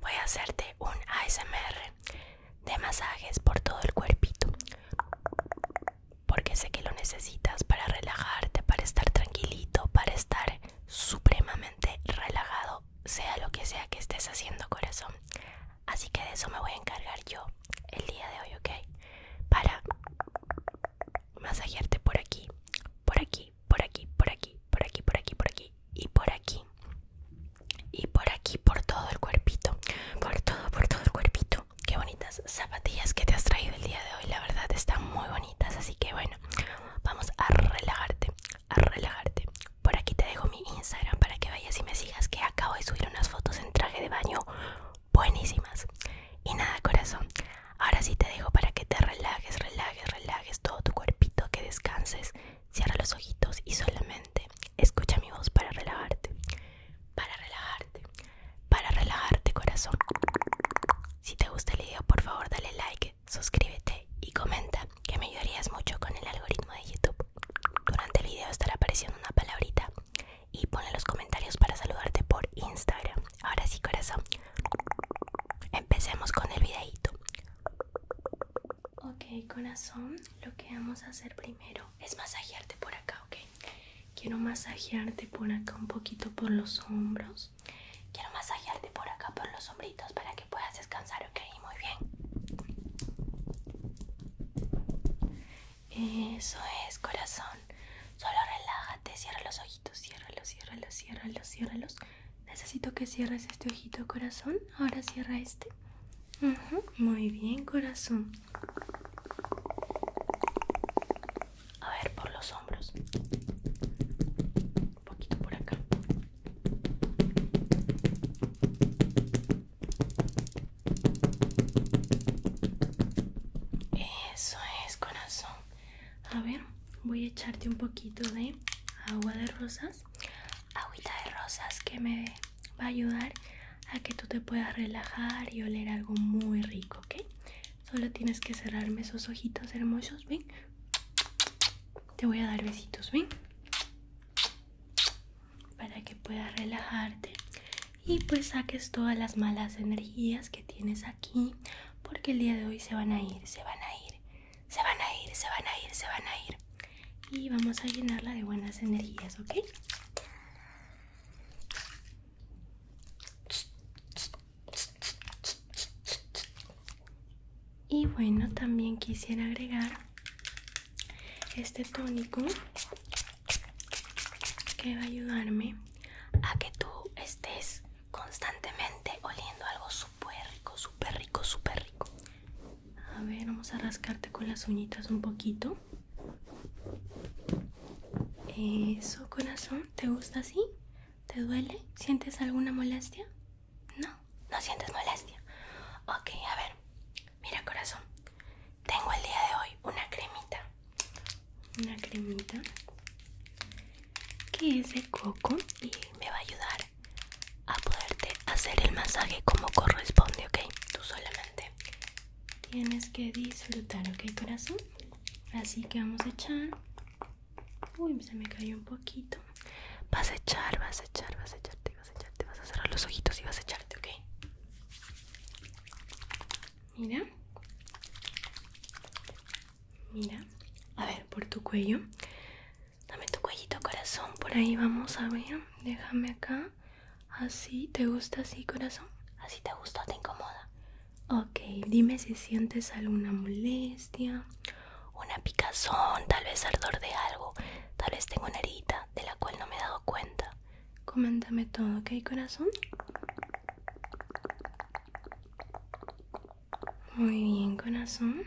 voy a hacerte un ASMR de masajes por todo el cuerpito porque sé que lo necesitas para relajarte, para estar tranquilito, para estar supremamente relajado, sea lo que sea que estés haciendo corazón. Así que de eso me voy a encargar yo el día de hoy, ¿ok? Para masajearte por aquí, por aquí por aquí, por aquí, por aquí, por aquí, por aquí y por aquí. Y por aquí, por todo el cuerpito. Por todo, por todo el cuerpito. Qué bonitas zapatillas que te has traído el día de hoy. La verdad, están muy bonitas. Así que bueno, vamos a relajarte, a relajarte. Por aquí te dejo mi Instagram para que vayas y me sigas. Que acabo de subir unas fotos en traje de baño buenísimas. Y nada, corazón. Ahora sí te dejo para que te relajes, relajes, relajes todo tu cuerpito, que descanses. Cierra los ojitos y solamente escucha mi voz para relajarte. Para relajarte. Para relajarte, corazón. Si te gusta el video, por favor, dale like, suscríbete y comenta, que me ayudarías mucho con el algoritmo de YouTube. Durante el video estará apareciendo una palabrita y pone los comentarios para saludarte por Instagram. Ahora sí, corazón. Empecemos con el videito. Ok, corazón, lo que vamos a hacer primero es masajearte por acá, ok. Quiero masajearte por acá un poquito por los hombros. Quiero masajearte por acá por los hombritos para que puedas descansar, ok. Muy bien. Eso es, corazón. Solo relájate, cierra los ojitos, ciérralos, ciérralos, ciérralos, ciérralos. Necesito que cierres este ojito, corazón. Ahora cierra este. Muy bien, corazón. A ver, por los hombros. Un poquito por acá. Eso es, corazón. A ver, voy a echarte un poquito de agua de rosas, agüita de rosas que me va a ayudar a que tú te puedas relajar y oler algo muy rico, ¿ok? Solo tienes que cerrarme esos ojitos hermosos, ¿ven? Te voy a dar besitos, ¿ven? Para que puedas relajarte y pues saques todas las malas energías que tienes aquí porque el día de hoy se van a ir, se van a ir, se van a ir, se van a ir, se van a ir. Y vamos a llenarla de buenas energías, ¿ok? Y bueno, también quisiera agregar este tónico que va a ayudarme a que tú estés constantemente oliendo algo súper rico, súper rico, súper rico. A ver, vamos a rascarte con las uñitas un poquito. Eso, corazón, ¿te gusta así? ¿Te duele? ¿Sientes alguna molestia? No, no sientes molestia. Ok, a ver, mira corazón, tengo el día de hoy una cremita. Una cremita que es el coco y me va a ayudar a poderte hacer el masaje como corresponde, ¿ok? Tú solamente tienes que disfrutar, ¿ok, corazón? Así que vamos a echar. Uy, se me cayó un poquito. Vas a echar, vas a echar, vas a echarte, vas a echarte, vas a cerrar los ojitos y vas a echarte, ¿ok? Mira. Mira, a ver, por tu cuello. Dame tu cuellito, corazón. Por ahí vamos a ver. Déjame acá. Así, ¿te gusta así, corazón? Así te gusta o te incomoda. Ok, dime si sientes alguna molestia, una picazón, tal vez ardor de algo. Tal vez tengo una herida de la cual no me he dado cuenta. Coméntame todo, ¿ok, corazón? Muy bien, corazón.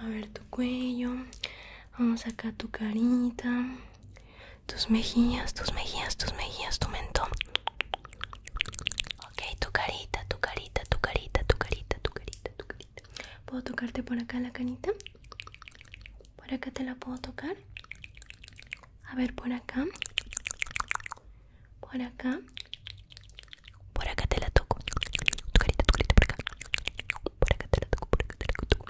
A ver tu cuello. Vamos acá sacar tu carita. Tus mejillas, tus mejillas, tus mejillas, tu mentón. Ok, tu carita, tu carita, tu carita, tu carita, tu carita, tu carita. ¿Puedo tocarte por acá la canita? ¿Por acá te la puedo tocar? A ver, por acá. Por acá. Por acá te la toco. Tu carita, tu carita, por acá. Por acá te la toco, por acá te la toco.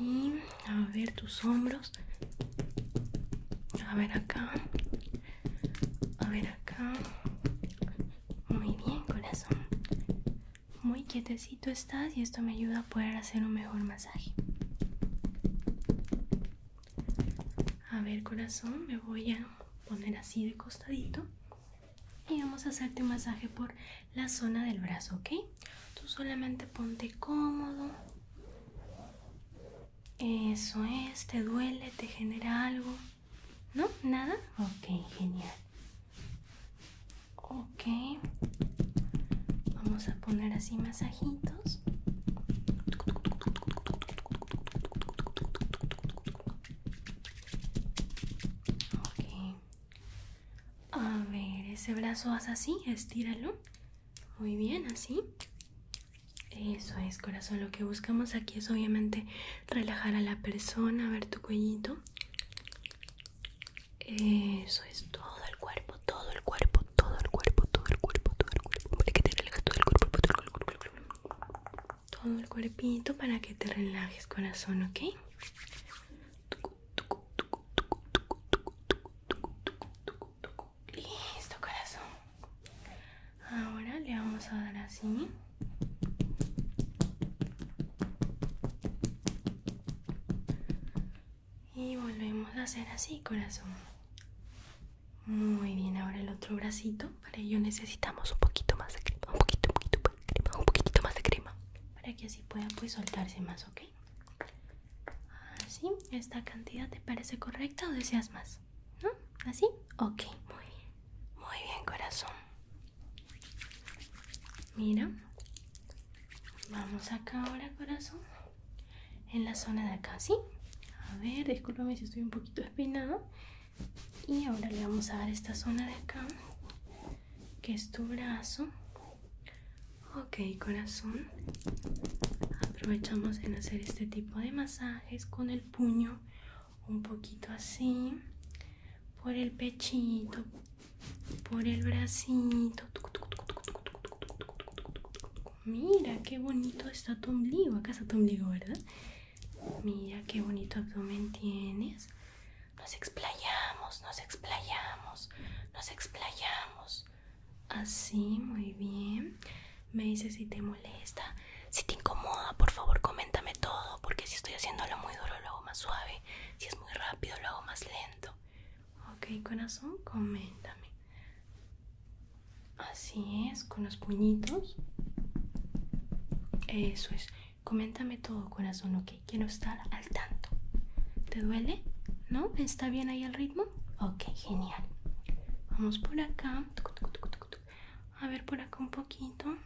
Y a ver tus hombros. A ver acá. A ver acá. Muy bien, corazón. Muy quietecito estás y esto me ayuda a poder hacer un mejor masaje. A ver corazón, me voy a poner así de costadito y vamos a hacerte un masaje por la zona del brazo, ¿ok? Tú solamente ponte cómodo. Eso es, te duele, te genera algo. ¿No? ¿Nada? Ok, genial. Ok, vamos a poner así masajitos. Ok, a ver, ese brazo haz así, estíralo. Muy bien, así. Eso es, corazón. Lo que buscamos aquí es obviamente relajar a la persona, ver tu cuellito. Eso es todo el cuerpo, todo el cuerpo, todo el cuerpo, todo el cuerpo, todo el cuerpo, para que te relajes todo el cuerpo, todo el cuerpo. Todo el cuerpito para que te relajes, corazón, ¿ok? Listo, corazón. Ahora le vamos a dar así. Y volvemos a hacer así, corazón. Muy bien, ahora el otro bracito. Para ello necesitamos un poquito más de crema, un poquito, un poquito más de crema, un poquito más de crema. Para que así pueda pues soltarse más, ¿ok? Así, ¿esta cantidad te parece correcta o deseas más? ¿No? ¿Así? Ok, muy bien. Muy bien, corazón. Mira, Vamos acá ahora, corazón. En la zona de acá, ¿sí? A ver, discúlpame si estoy un poquito despeinada. Y ahora le vamos a dar esta zona de acá, que es tu brazo. Ok, corazón. Aprovechamos en hacer este tipo de masajes con el puño un poquito así por el pechito por el bracito. Mira qué bonito está tu ombligo. Acá está tu ombligo, ¿verdad? Mira qué bonito abdomen tienes. Nos explayamos, nos explayamos, nos explayamos. Así, muy bien. Me dices si te molesta, si te incomoda, por favor, coméntame todo, porque si estoy haciéndolo muy duro, lo hago más suave. Si es muy rápido, lo hago más lento. Ok, corazón, coméntame. Así es, con los puñitos. Eso es. Coméntame todo, corazón, ok. Quiero estar al tanto. ¿Te duele? ¿No? ¿Está bien ahí el ritmo? Ok, genial. Vamos por acá. A ver por acá un poquito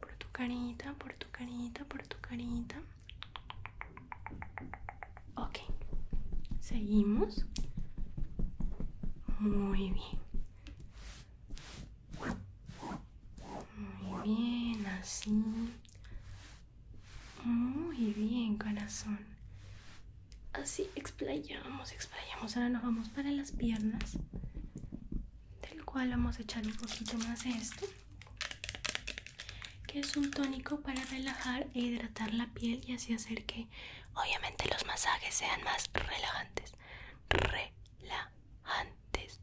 por tu carita, por tu carita, por tu carita. Ok, seguimos. Muy bien. Muy bien, así. Muy bien, corazón. Así explayamos, explayamos. Ahora nos vamos para las piernas, del cual vamos a echar un poquito más de esto que es un tónico para relajar e hidratar la piel y así hacer que obviamente los masajes sean más relajantes. Relajantes.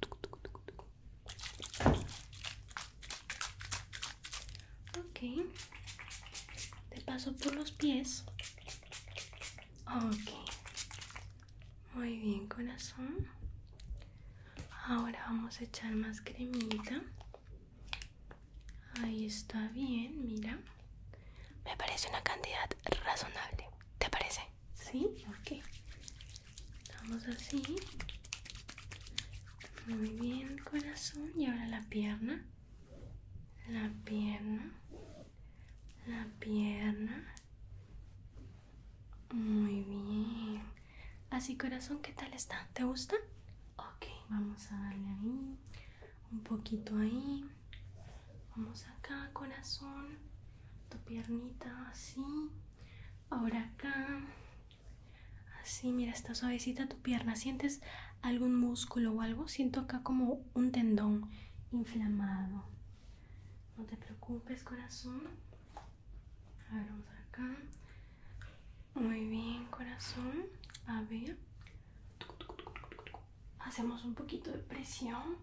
Ok. Te paso por los pies. Ok. Muy bien, corazón. Ahora vamos a echar más cremita. Ahí está bien, mira. Me parece una cantidad razonable. ¿Te parece? Sí, ok. Vamos así. Muy bien, corazón. Y ahora la pierna. La pierna. La pierna. Muy bien. Así corazón, ¿qué tal está? ¿Te gusta? Ok, vamos a darle ahí. Un poquito ahí. Vamos acá, corazón. Tu piernita así. Ahora acá. Así, mira, está suavecita tu pierna. ¿Sientes algún músculo o algo? Siento acá como un tendón inflamado. No te preocupes, corazón. A ver, vamos acá. Muy bien, corazón. A ver. Hacemos un poquito de presión.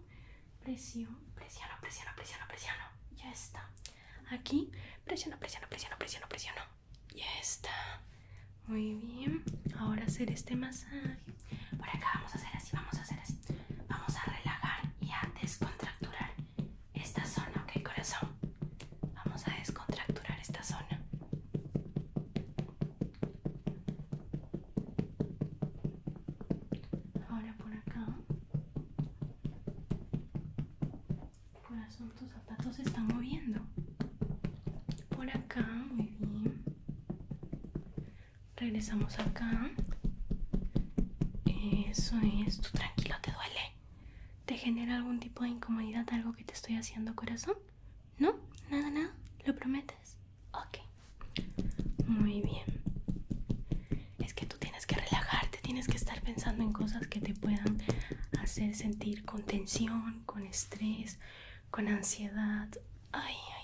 Presión, presión, presión, presiona, presiona. Ya está. Aquí, presiona, presiona, presiona, presiona, presiona. Ya está. Muy bien. Ahora hacer este masaje. Por acá vamos a hacer así, vamos a hacer así vamos a relajar y a descontracturar esta zona, ok corazón. Vamos a descontracturar esta zona. Ahora por acá. Corazón, tus zapatos se están moviendo. Por acá, muy bien. Regresamos acá. Eso es, tú tranquilo, ¿te duele? ¿Te genera algún tipo de incomodidad algo que te estoy haciendo, corazón? ¿No? ¿Nada, nada? ¿Lo prometes? Ok. Muy bien. Es que tú tienes que relajarte, tienes que estar pensando en cosas que te puedan hacer sentir con tensión, con estrés, con ansiedad. Ay, ay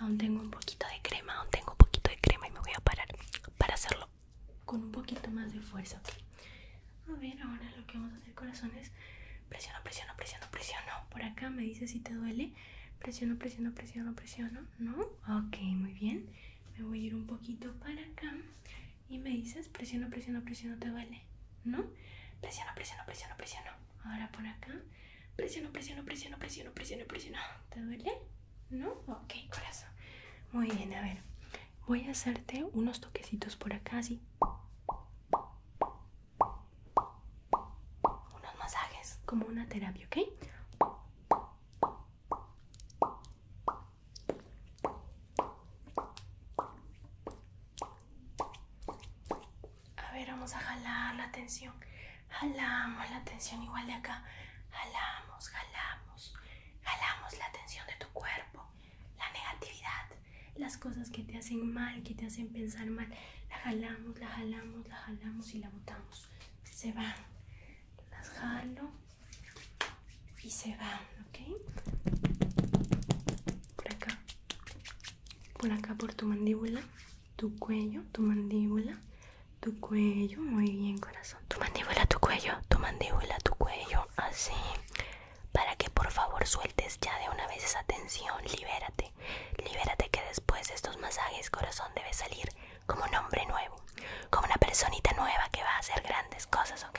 Aún tengo un poquito de crema, aún tengo un poquito de crema y me voy a parar para hacerlo con un poquito más de fuerza, A ver, ahora lo que vamos a hacer, corazón, es presiono, presiono, presiono, presiono. Por acá me dice si te duele. Presiono, presiono, presiono, presiono, ¿no? Ok, muy bien. Me voy a ir un poquito para acá y me dices presiono, presiono, presiono, te duele, ¿no? Presiono, presiono, presiono, presiono. Ahora por acá Presiono, presiono, presiono, presiono, presiono, presiono. ¿Te duele? ¿No? Ok, corazón. Muy bien, a ver. Voy a hacerte unos toquecitos por acá, así. Unos masajes, como una terapia, ¿ok? A ver, vamos a jalar la tensión. Jalamos la tensión igual de acá. Jalamos, jalamos. Jalamos la tensión de tu cuerpo. La negatividad. Las cosas que te hacen mal, que te hacen pensar mal. La jalamos, la jalamos, la jalamos y la botamos. Se van. Las jalo y se van, ¿ok? Por acá por acá por tu mandíbula, tu cuello, tu mandíbula, tu cuello, muy bien corazón, tu mandíbula, tu cuello, tu mandíbula, tu cuello, así, para que por favor sueltes ya de una vez esa tensión, libérate, libérate que después de estos masajes corazón debe salir como un hombre nuevo, como una personita nueva que va a hacer grandes cosas, ¿ok?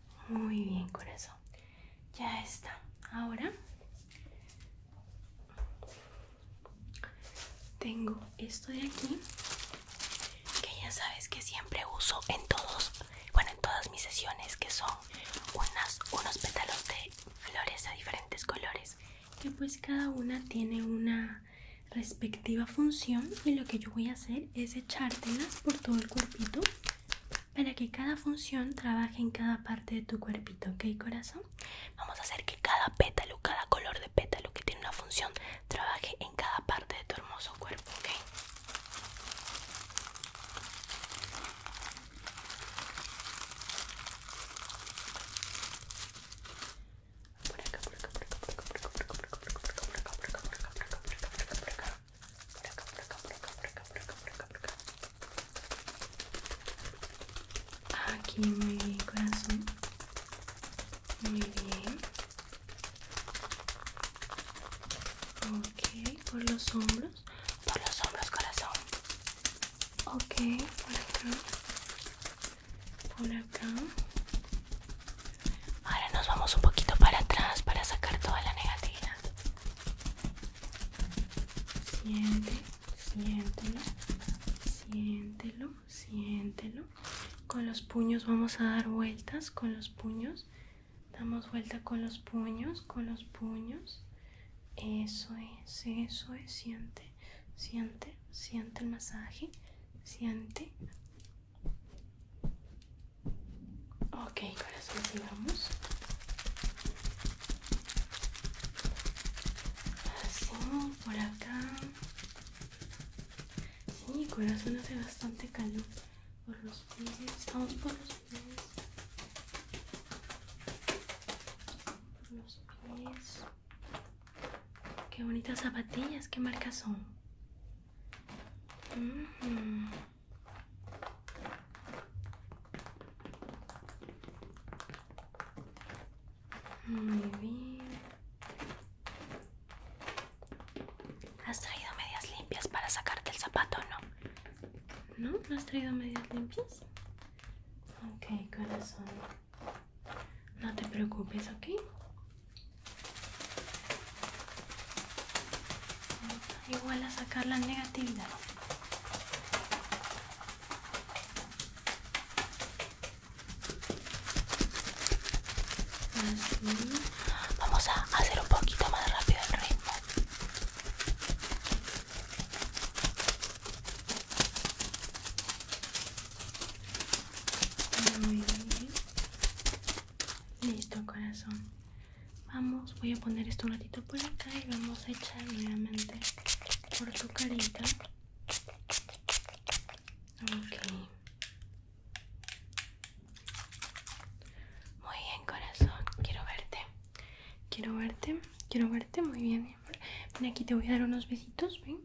Muy bien, corazón. Ya está. Ahora tengo esto de aquí que ya sabes que siempre uso en todos, bueno, en todas mis sesiones que son unos pétalos de flores a diferentes colores que pues cada una tiene una respectiva función y lo que yo voy a hacer es echártelas por todo el cuerpito para que cada función trabaje en cada parte de tu cuerpito, ¿ok, corazón? Vamos a hacer que cada pétalo, cada color de pétalo que tiene una función, trabaje en cada parte de tu hermoso cuerpo, ¿ok? por acá, por acá, por acá, por acá, por acá, por acá, por acá. Aquí muy bien, corazón. Muy bien. Ok, por los hombros. Por los hombros, corazón. Ok, por acá. Por acá. Ahora nos vamos un poquito para atrás para sacar toda la negatividad Siente, siéntelo, siéntelo, siéntelo. Con los puños vamos a dar vueltas, con los puños. Damos vuelta con los puños, con los puños. Eso es, eso es, siente, siente, siente el masaje, siente, Ok, corazón, sigamos. Así, por acá. Sí, corazón hace bastante calor por los pies. vamos por los pies. Por los pies. Qué bonitas zapatillas, qué marcas son. Muy bien. ¿Has traído medias limpias para sacarte el zapato o no? ¿No? ¿No has traído medias limpias? Ok, corazón. No te preocupes, ¿ok? Igual a sacar la negatividad. Vamos a hacer un poquito más rápido el ritmo. Listo, corazón. Vamos, voy a poner esto un ratito por acá y vamos a echar nuevamente por tu carita. Ok. Muy bien, corazón. Quiero verte. Quiero verte. Quiero verte. Muy bien, Ven aquí, te voy a dar unos besitos. Ven.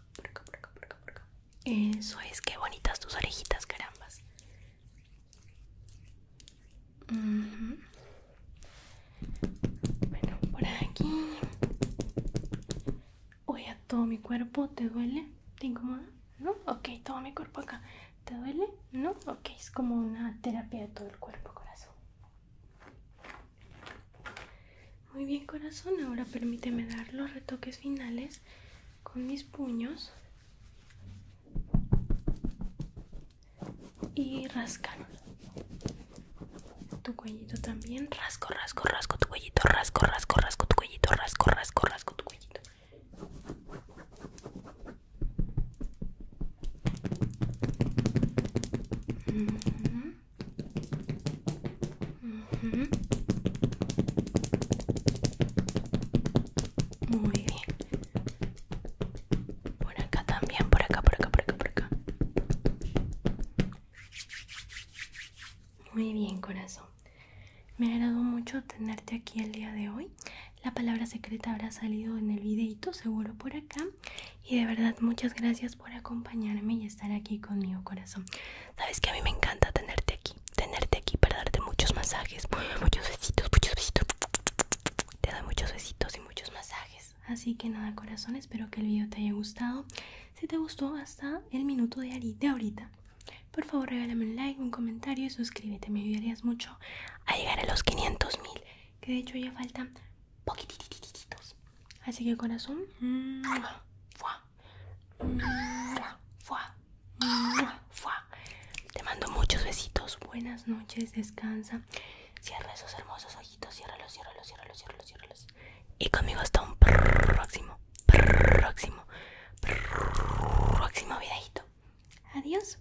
por acá, por acá, por acá, Eso es, qué bonitas tus orejitas, carambas. Bueno, por aquí. Oye, a todo mi cuerpo, ¿te duele? ¿Te incomoda? ¿No? Ok, todo mi cuerpo acá. ¿Te duele? ¿No? Ok, es como una terapia de todo el cuerpo, corazón. Muy bien corazón, ahora permíteme dar los retoques finales con mis puños y rascar tu cuellito también, rasco, rasco, rasco tu cuellito, rasco, rasco, rasco tu cuellito, rasco, rasco, rasco tu cuellito. Muy bien. Por acá también, por acá, por acá, por acá, por acá. Muy bien, corazón. Me agradó mucho tenerte aquí el día de hoy. La palabra secreta habrá salido en el videito, seguro por acá. Y de verdad, muchas gracias por acompañarme y estar aquí conmigo, corazón. Sabes que a mí me encanta tenerte aquí, tenerte aquí para darte muchos masajes, muchos besitos, muchos besitos. Te doy muchos besitos y muchos masajes. Así que nada, corazón, espero que el video te haya gustado. Si te gustó hasta el minuto de ahorita, por favor regálame un like, un comentario y suscríbete. Me ayudarías mucho a llegar a los 500 mil, que de hecho ya faltan Poquititititos Así que corazón. Te mando muchos besitos. Buenas noches, descansa. Cierra esos hermosos ojitos, ciérralos, ciérralos, ciérralos, ciérralos, Y conmigo hasta un próximo, próximo, próximo videito. Adiós.